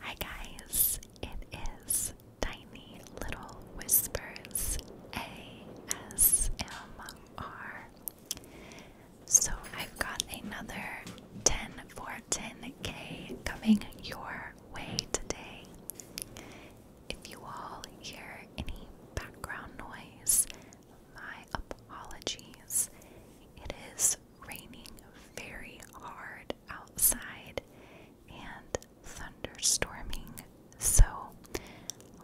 Hi guys, it is Tiny Little Whispers ASMR. So I've got another 10 for 10k coming your way today. If you all hear any background noise, my apologies. It is raining very hard outside and thunderstorming. So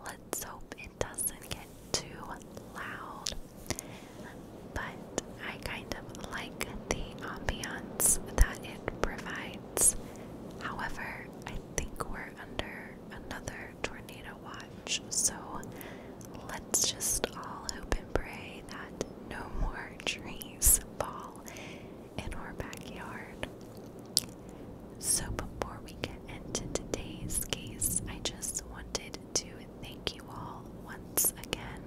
let's hope it doesn't get too loud. But I kind of like the ambiance that it provides. However, I think we're under another tornado watch, so let's just all hope and pray that no more trees fall in our backyard. So, before we get into today's case, I just wanted to thank you all once again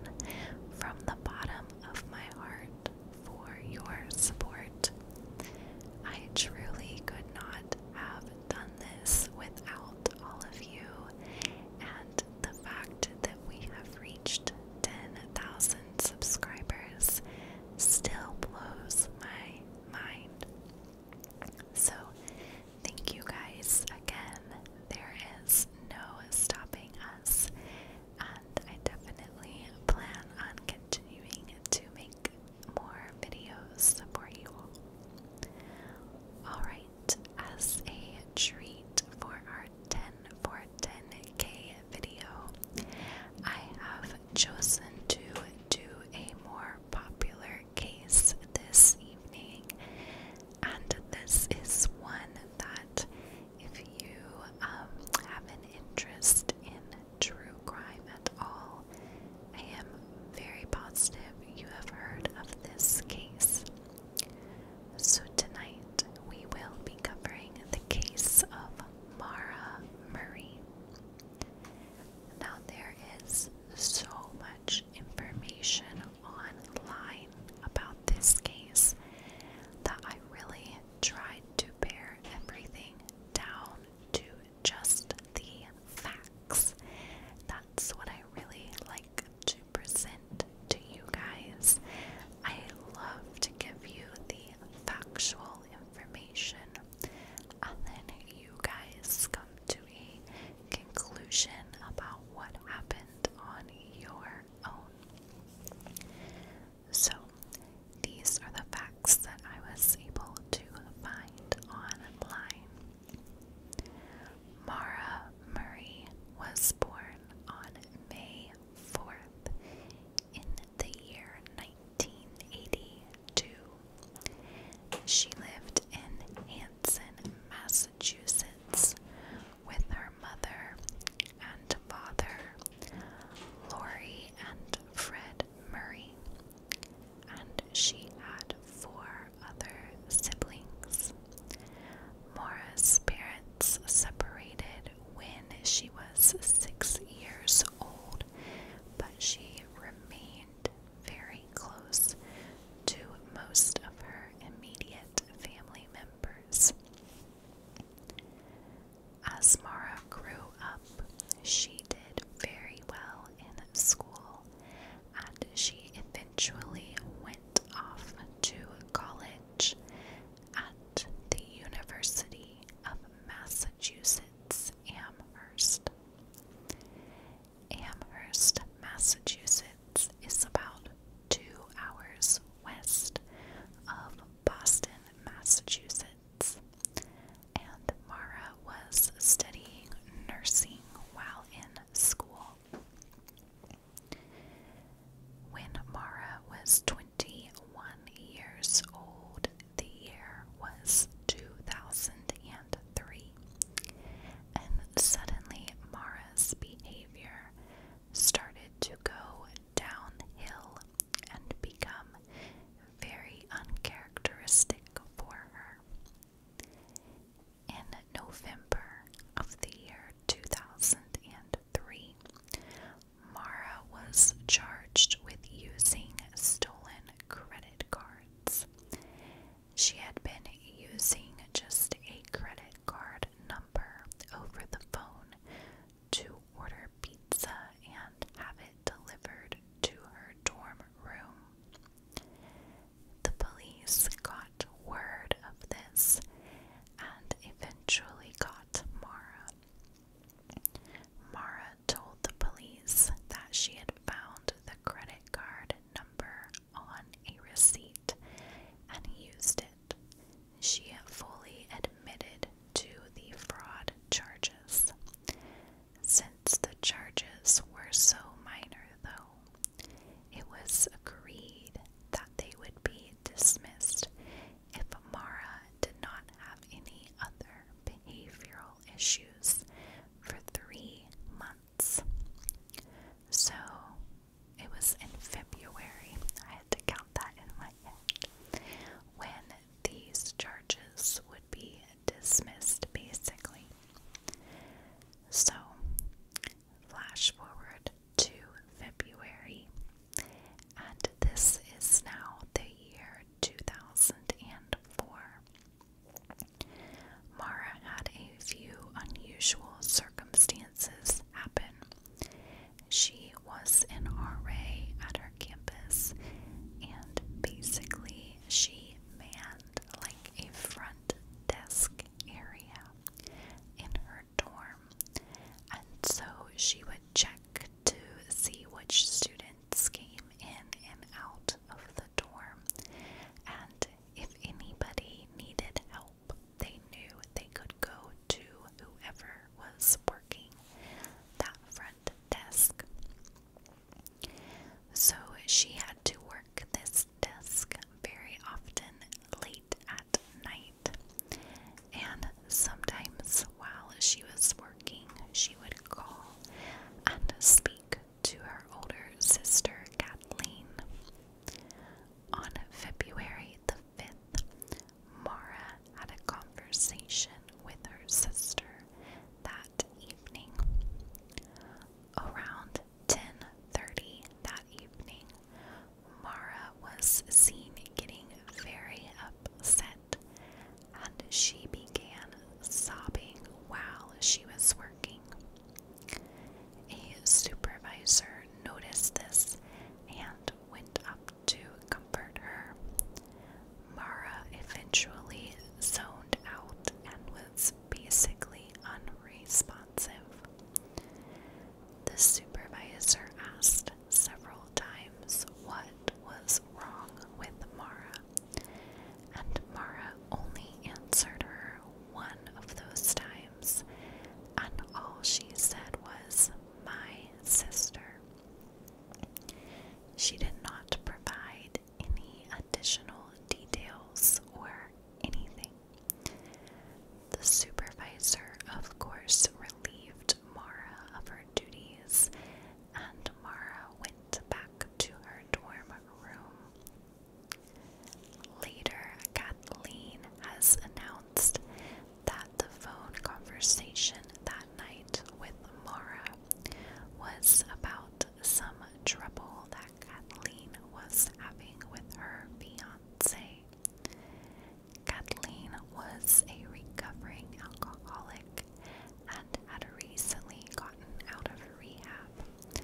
from the bottom of my heart for your support. I truly could not have done this without all of you and the fact that we have reached 10,000 subscribers still blows my mind. So, thank you guys again. There is no stopping us, and I definitely plan on continuing to make more videos for you all. Alright as a treat for our 10 for 10k video. I have chosen to do a more popular case this evening, and this is one that, if you um, have an interest in true crime at all, I am very positive you have heard of this case. So, tonight we will be covering the case of Mara Murray. Now, there is so much information online about this case that I really tried to bear everything down to just the facts. That's what I really like to present to you guys. I love to give you the factual information and then you guys come to a conclusion about what happened on your own. So, these are the facts that I was able to find online. Mara Murray was born on May 4th in the year 1982. She lived in Hanson, Massachusetts with her mother and father, Lori and Fred Murray, and she had four her other siblings. Mora's parents separated when she was six years old, but she remained very close to most of her immediate family members. As Mara grew up, she did very well in school and she eventually went off to college at the University of Massachusetts Amherst. Amherst, Massachusetts is about two hours west of Boston, Massachusetts, and Mara was studying nursing while in school. When Mara was 21 years old, the year was 2003, and suddenly Mara's behavior started to go downhill and become very uncharacteristic for her. In November of the year 2003, Mara was charged with using stolen credit cards. She had been using just a credit card number over the phone to order pizza and have it delivered to her dorm room. The police got word of this and eventually got Mara. Mara told the police that she had found the credit card number on a receipt and used it. She fully admitted to the fraud charges. Since the charges were so minor, though, it was agreed that they would be dismissed if Mara did not have any other behavioral issues for three months. So it was in February, I had to count that in my head, when these charges would be dismissed basically. So, flash forward to February, and this is now the year 2004. Mara had a few unusual circumstances happen. She was in RA at her campus, and basically, she manned like a front desk area in her dorm, and so she would check to see which students came in and out of the dorm, and if anybody needed help, they knew they could go to whoever was working that front desk. So she had to work this desk very often late at night. And sometimes while she was working, she would call and speak to her older sister Kathleen. On February the 5th, Mara had a conversation with her sister that evening. Around 10:30 that evening, Mara was seen getting very upset and she began sobbing while she was working. A supervisor noticed this and went up to comfort her. Mara eventually zoned out and was basically unresponsive. The supervisor asked several times what was wrong with Mara, and Mara only answered her one of those times, and all she said was, My sister. She did not provide any additional details or anything. The supervisor, of course, relieved Mara of her duties, and Mara went back to her dorm room. Later, Kathleen has announced that the phone conversation that night with Mara was about some trouble that Kathleen was having with her fiance. Kathleen was a recovering alcoholic and had recently gotten out of rehab.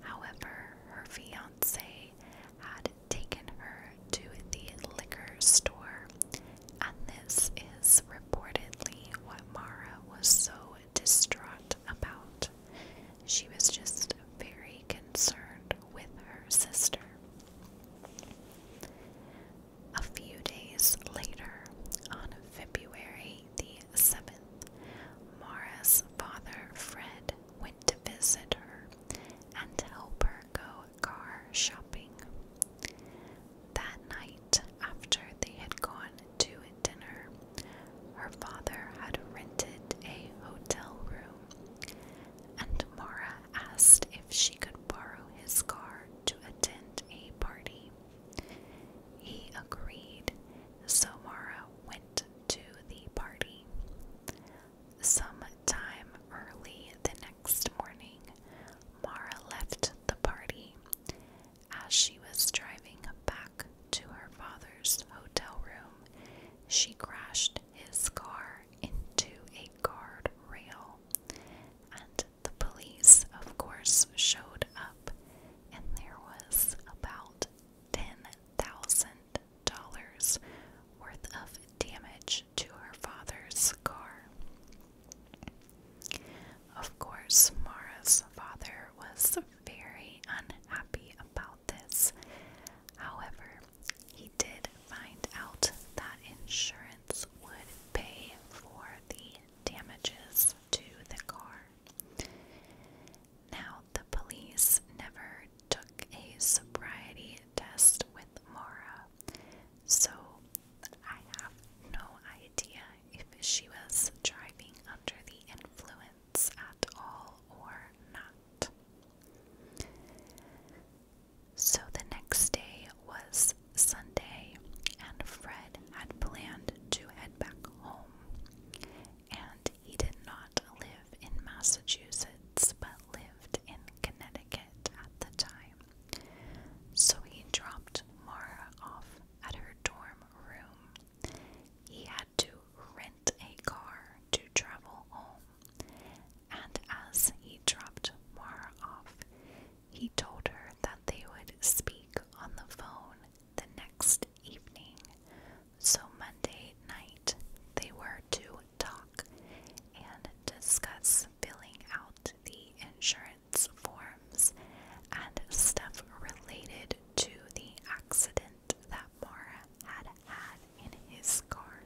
However, her fiance had taken her to the liquor store, and this is reportedly what Mara was so distraught about. She was just very concerned with her sister. A few days later, on February the 7th, Mara's father, Fred, went to visit her and help her go car shopping. That night, after they had gone to dinner, her father had rented a hotel room, and Mara asked if she could borrow his car to attend a party. He agreed, so Mara went to the party. Some time early the next morning, Mara left the party as she was driving back to her father's hotel room, she crashed his car into a guard rail. And the police, of course, showed up, and there was about $10,000 worth of damage to her father's car. Of course, Mara's father was very unhappy about this. However, he did find out that insurance would pay for the damages to the car. Now, the police never took a sobriety test with Mara, so I have no idea if she was driving under the influence at all or not. So the next day was Sunday, and Fred had planned to head back home. And he did not live in Massachusetts, but lived in Connecticut at the time. So he dropped Mara off at her dorm room. He had to rent a car to travel home, and as he dropped Mara off, he told her that they would speak on the phone the next evening. So, Monday night, they were to talk and discuss filling out the insurance forms and stuff related to the accident that Mara had had in his car.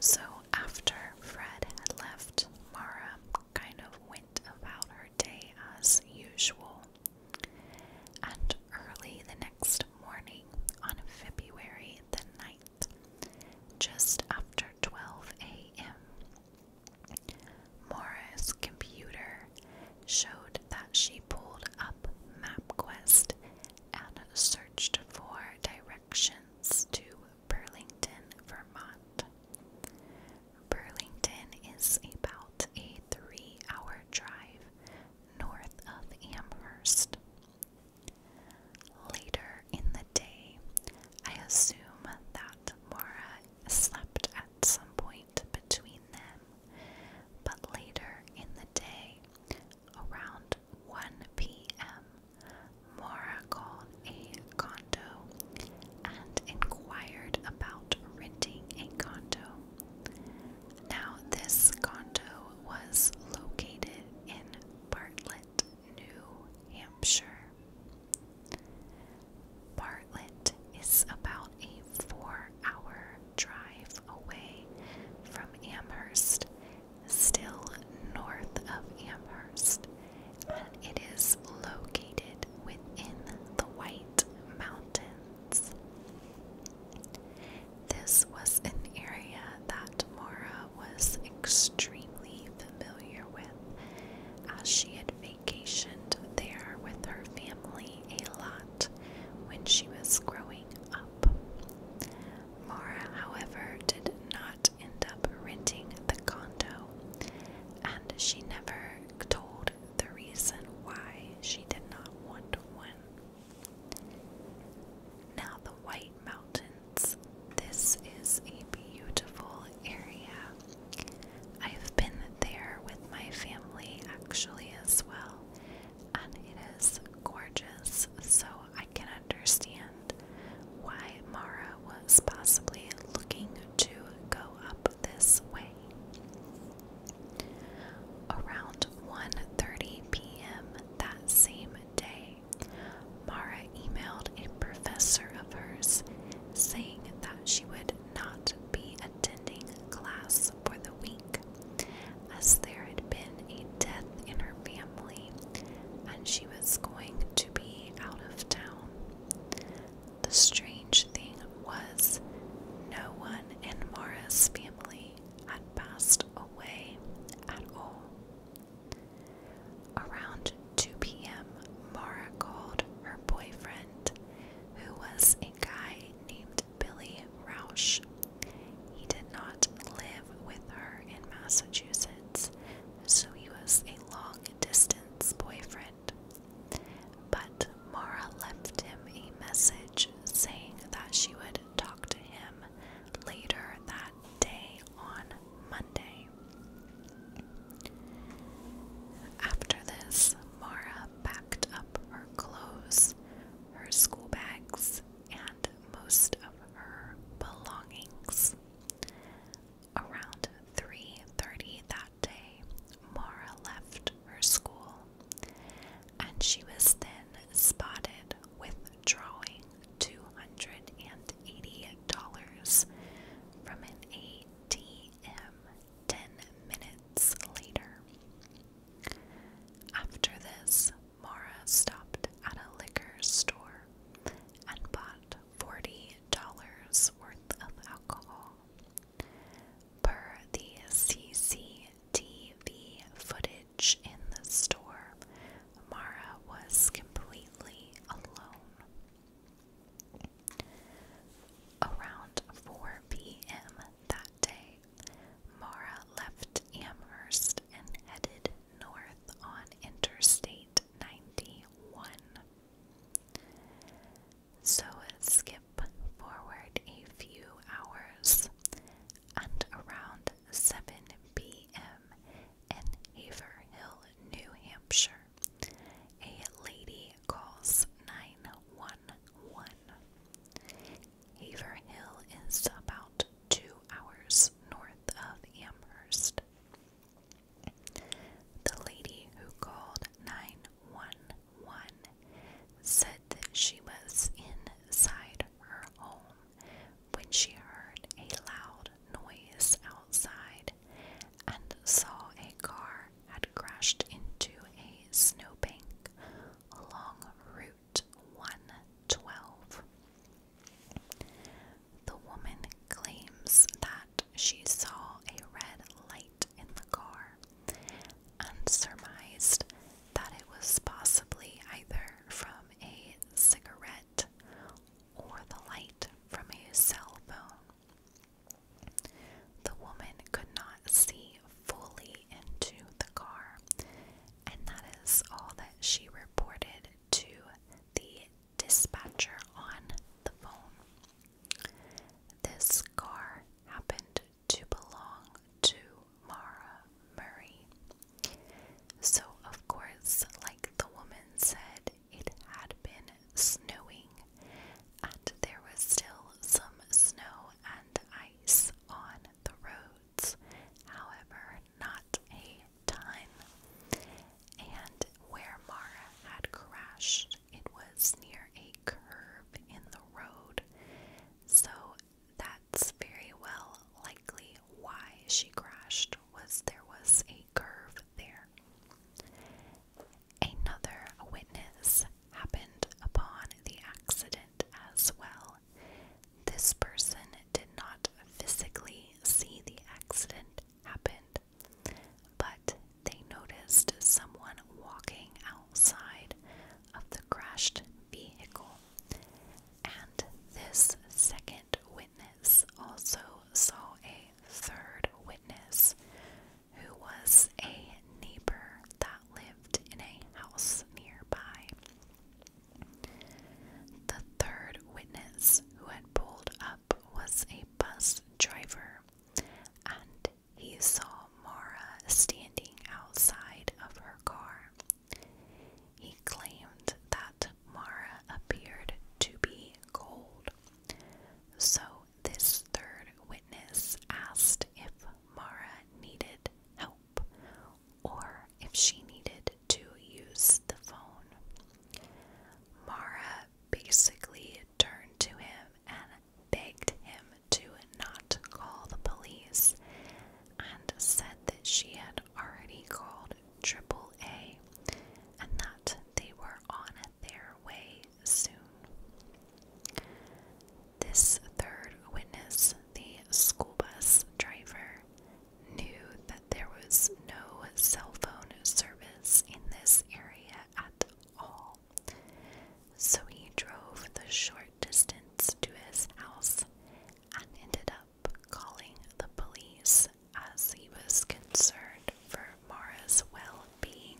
So after Fred had left, Mara kind of went about her day as usual. And early the next morning, on February the just after 12 a.m. Morris' computer showed that she pulled up MapQuest and searched for directions to Burlington, Vermont. Burlington is about a three hour drive north of Amherst. Later in the day, I assume that Mora slept at some point between them, but later in the day, around 1 p.m., Mora called a condo and inquired about renting a condo. Now, this condo was located in Bartlett, New Hampshire. Bartlett is about a four hour drive away from Amherst, still north of Amherst, and it is located within the White Mountains. This was an area that Morrow was extremely familiar with, as she had vacationed there with her family a lot when she was growing up. Mara, however, did not end up renting the condo, and she never told the reason why she did not want one. Now, the White Mountains. This is a beautiful area. I've been there with my family actually as well, and it is gorgeous, so I can understand why Mara was possibly looking to go up this way. Around 1:30 p.m. that same day, Mara emailed a professor of hers saying that she would not be attending class for the week as there had been a death in her family and she was going to be out of town. The strange thing was, no one in Mara's family had passed away at all. Around 2 p.m., Mara called her boyfriend, who was a guy named Billy Rausch. He did not live with her in Massachusetts, so he was a long distance boyfriend. But Mara left him a message saying that she would talk to him later that day on Monday. After this, Mara packed up her clothes, her school bags, and most of her belongings. Around 3:30 that day, Mara left her school, and she was then spotted withdrawing $280 from an ATM 10 minutes later. After this, Mara stopped at a liquor store and bought $40 worth of alcohol. Per the CCTV footage, in the store, Mara was completely alone. Around 4 p.m. that day, Mara left Amherst and headed north on Interstate 91. So skip forward a few hours, and around 7 p in Haverhill, New Hampshire. A lady calls 911. Haverhill is about two hours north of Amherst. The lady who called 911 said that she was inside her home when she heard a loud noise outside and saw a car had crashed into a snowbank along Route 112. The woman claims that she saw a red light in the car and surmised that it was possibly either from a cigarette or the light from a cell phone. The woman could not see fully into the car, and that is all that she reported to the dispatcher on the phone. This car happened to belong to Mara Murray. So, of course, like the woman said, it had been snowing, and there was still some snow and ice on the roads, however, not a ton. And where Mara had crashed, it was near a curve in the road, so that's very well likely why she crashed was there was a curve there. Another witness happened upon the accident as well. This person did not physically see the accident happen, but they noticed someone walking outside of the crashed vehicle. And this second witness also saw a third witness who was a neighbor that lived in a house nearby. The third witness who had pulled up was a bus driver, and he saw Mara standing outside of her car. He claimed that Mara appeared to be cold. So, this third witness asked if Mara needed help or if she needed to use the phone. Mara basically turned to him and begged him to not call the police and said that she had already called Triple A, and that they were on their way soon. This third witness, the school bus driver, knew that there was no cell phone service in this area at all, so he drove the short distance to his house and ended up calling the police as he was concerned for Mara's well being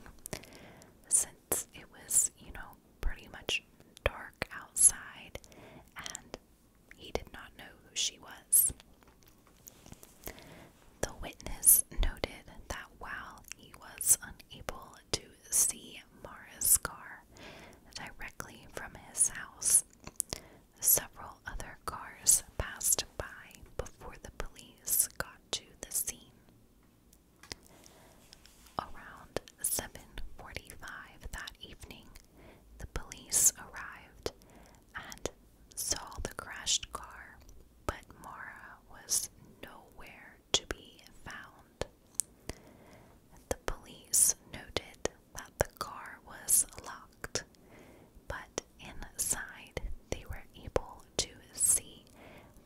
since it was, you know, pretty much dark outside and he did not know who she was. The witness noted that while he was unable to see car directly from his house. Several other cars passed by before the police got to the scene. Around 7:45 that evening, the police arrived and saw the crashed car, but Mara was nowhere to be found. The police noted that the car was locked, but inside they were able to see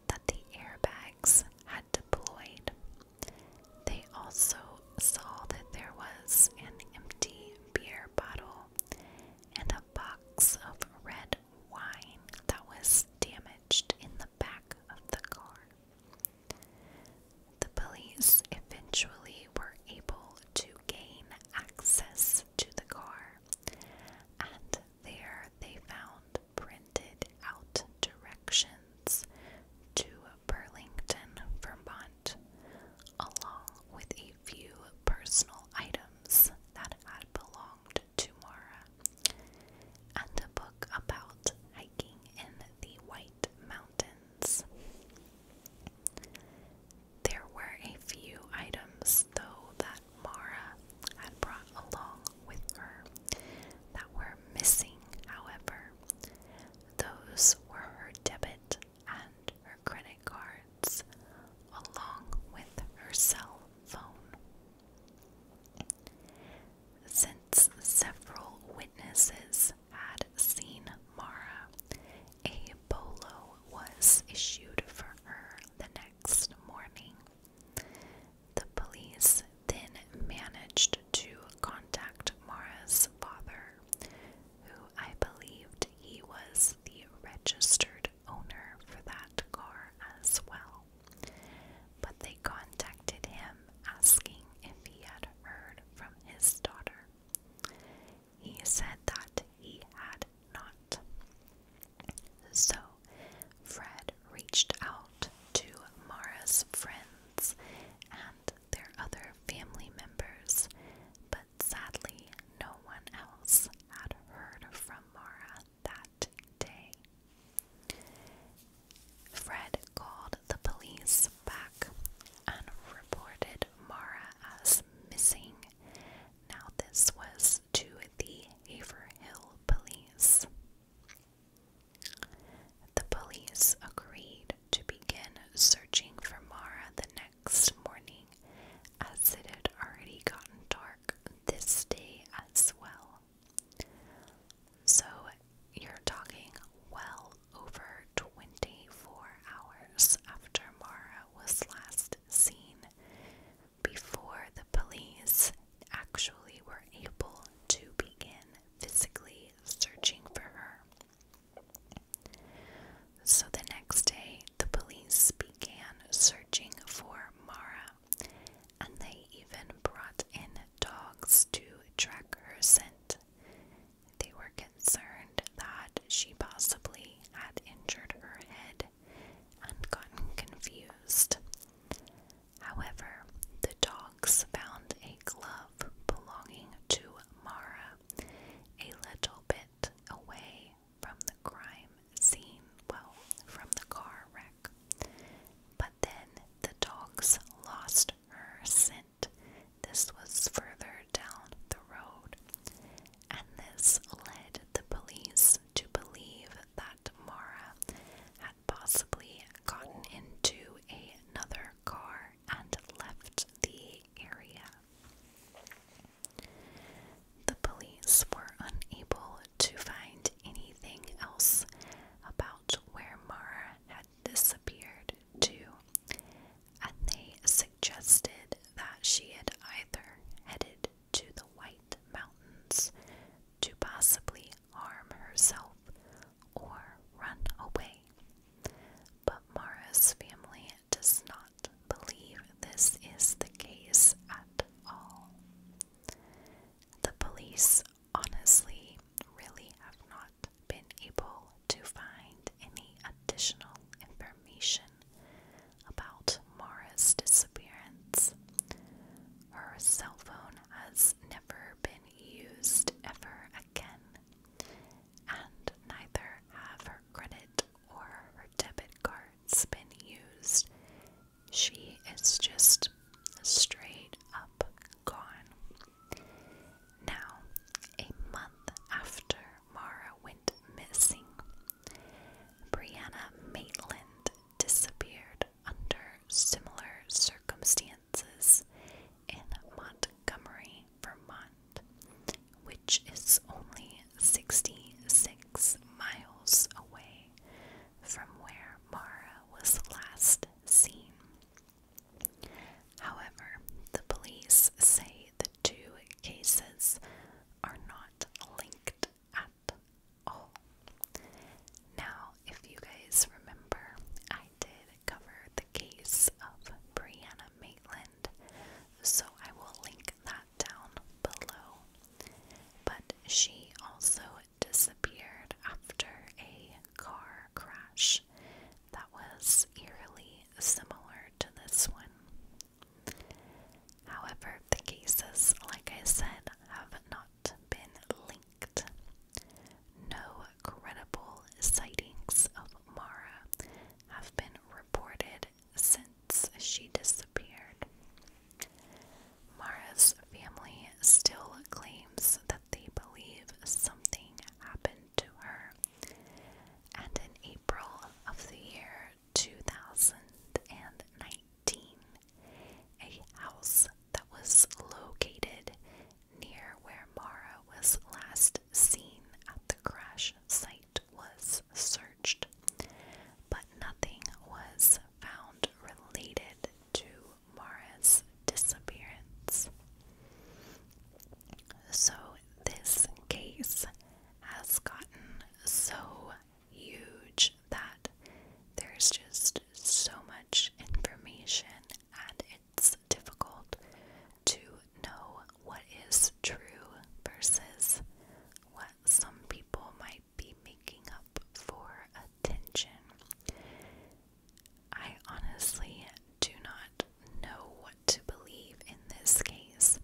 that the airbags had deployed. They also saw that there was an empty beer bottle and a box of red wine that was damaged in the the back of the car. The police eventually were able to gain access to the car, and there they found printed out directions to Burlington, Vermont, along with a few personal items that had belonged to Mara and a book about hiking in the White Mountains. There were a few items, though, that Mara had brought along with her that were missing, however. Those were her debit and her credit cards, along with her cell phone. Since several witnesses had seen Mara, a bolo was issued for her the next morning. The police then managed to contact Mara's father, who I believed he was the registered owner for that car as well. But they contacted him asking if he had heard from his daughter. He said that he had not. So Fred reached out to Mara's friends and their other family members, but sadly, no one else had heard from Mara that day. Fred called the police back and reported Mara as missing. Now, this was to the Haverhill police. The police agreed to begin searching for Mara the next morning, as it had already gotten dark this day as well. So you're talking well over 24 hours after Mara was last seen before the police actually were able to begin physically searching for her. So the next day, the police began searching for Mara and they even brought in dogs to track her scent. They were concerned that she possibly had injured her head and gotten confused. However, the dogs found a glove belonging to Mara a little bit away from the crime scene, well, from the car wreck. But then the dogs lost her scent. This was further down the road, and this led the police to believe that Mara had possibly gotten into another car and left the area. The police were unable to find anything else about where Mara had disappeared to, and they suggested that she had either headed to the White Mountains to possibly arm herself or run away. But Mara's family does not believe this is the case at all. The police honestly really have not been able to find any additional information about Mara's disappearance. Her cell phone has never been used ever again, and neither have her credit or her debit cards been used she is just straight up gone. Now, a month after Mara went missing, Brianna Maitland disappeared under similar circumstances in Montgomery, Vermont, which is only 66 miles away from where Mara was last seen. However, the police say the two cases are not linked at all. Now, if you guys remember, I did cover the case of Brianna Maitland, so I will link that down below. But she also disappeared after a car crash that was eerily similar to this one. However, the cases, like I said, have not been linked. No credible sightings of Mara have been reported since she disappeared. Mara's family still claims that they believe something happened to her, and in April of the year 2019, a house that was located near where Mara was last seen at the crash site was searched, but nothing was found related to Mara's disappearance. So, this case has gotten so huge that there's just so much information and it's difficult to know what is true versus what some people might be making up for attention. I honestly do not know what to believe in this case.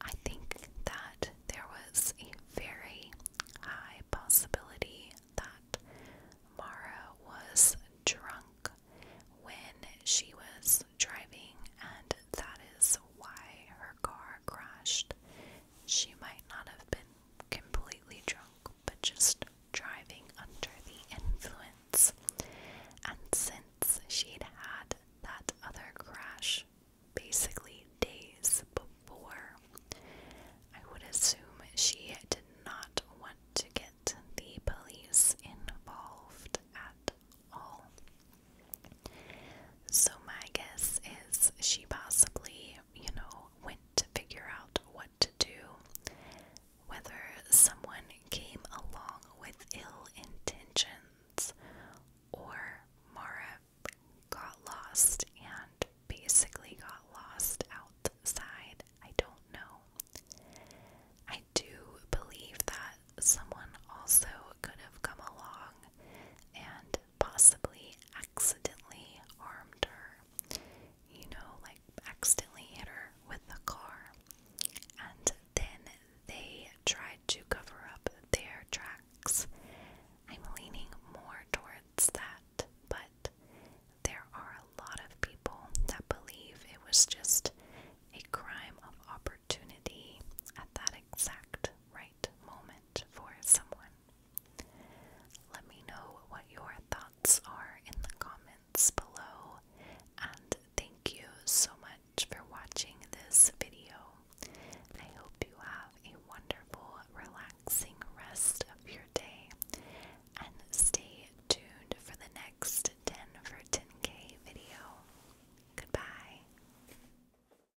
I think that there was a very high possibility that Mara was drunk when she was driving, and that is why her car crashed. She might not have been completely drunk, but just driving under the influence. And since she'd had that other crash basically days before, I would assume she did not want to get the police involved at all. So my guess is she possibly, you know, went to figure out what to do. Whether someone came along with ill intentions or Mara got lost and basically got lost outside, I don't know. I do believe that someone also could have come along and possibly accidentally harmed her. You know, like accidentally hit her with the car. And then they tried to cover up their tracks. I'm leaning more towards that, but there are a lot of people that believe it was just a crime of opportunity at that exact right moment for someone. Let me know what your thoughts are in the comments below, and thank you so much for watching this video. I hope you have a wonderful, relaxing rest of your day, and stay tuned for the next 10 for 10k video. Goodbye.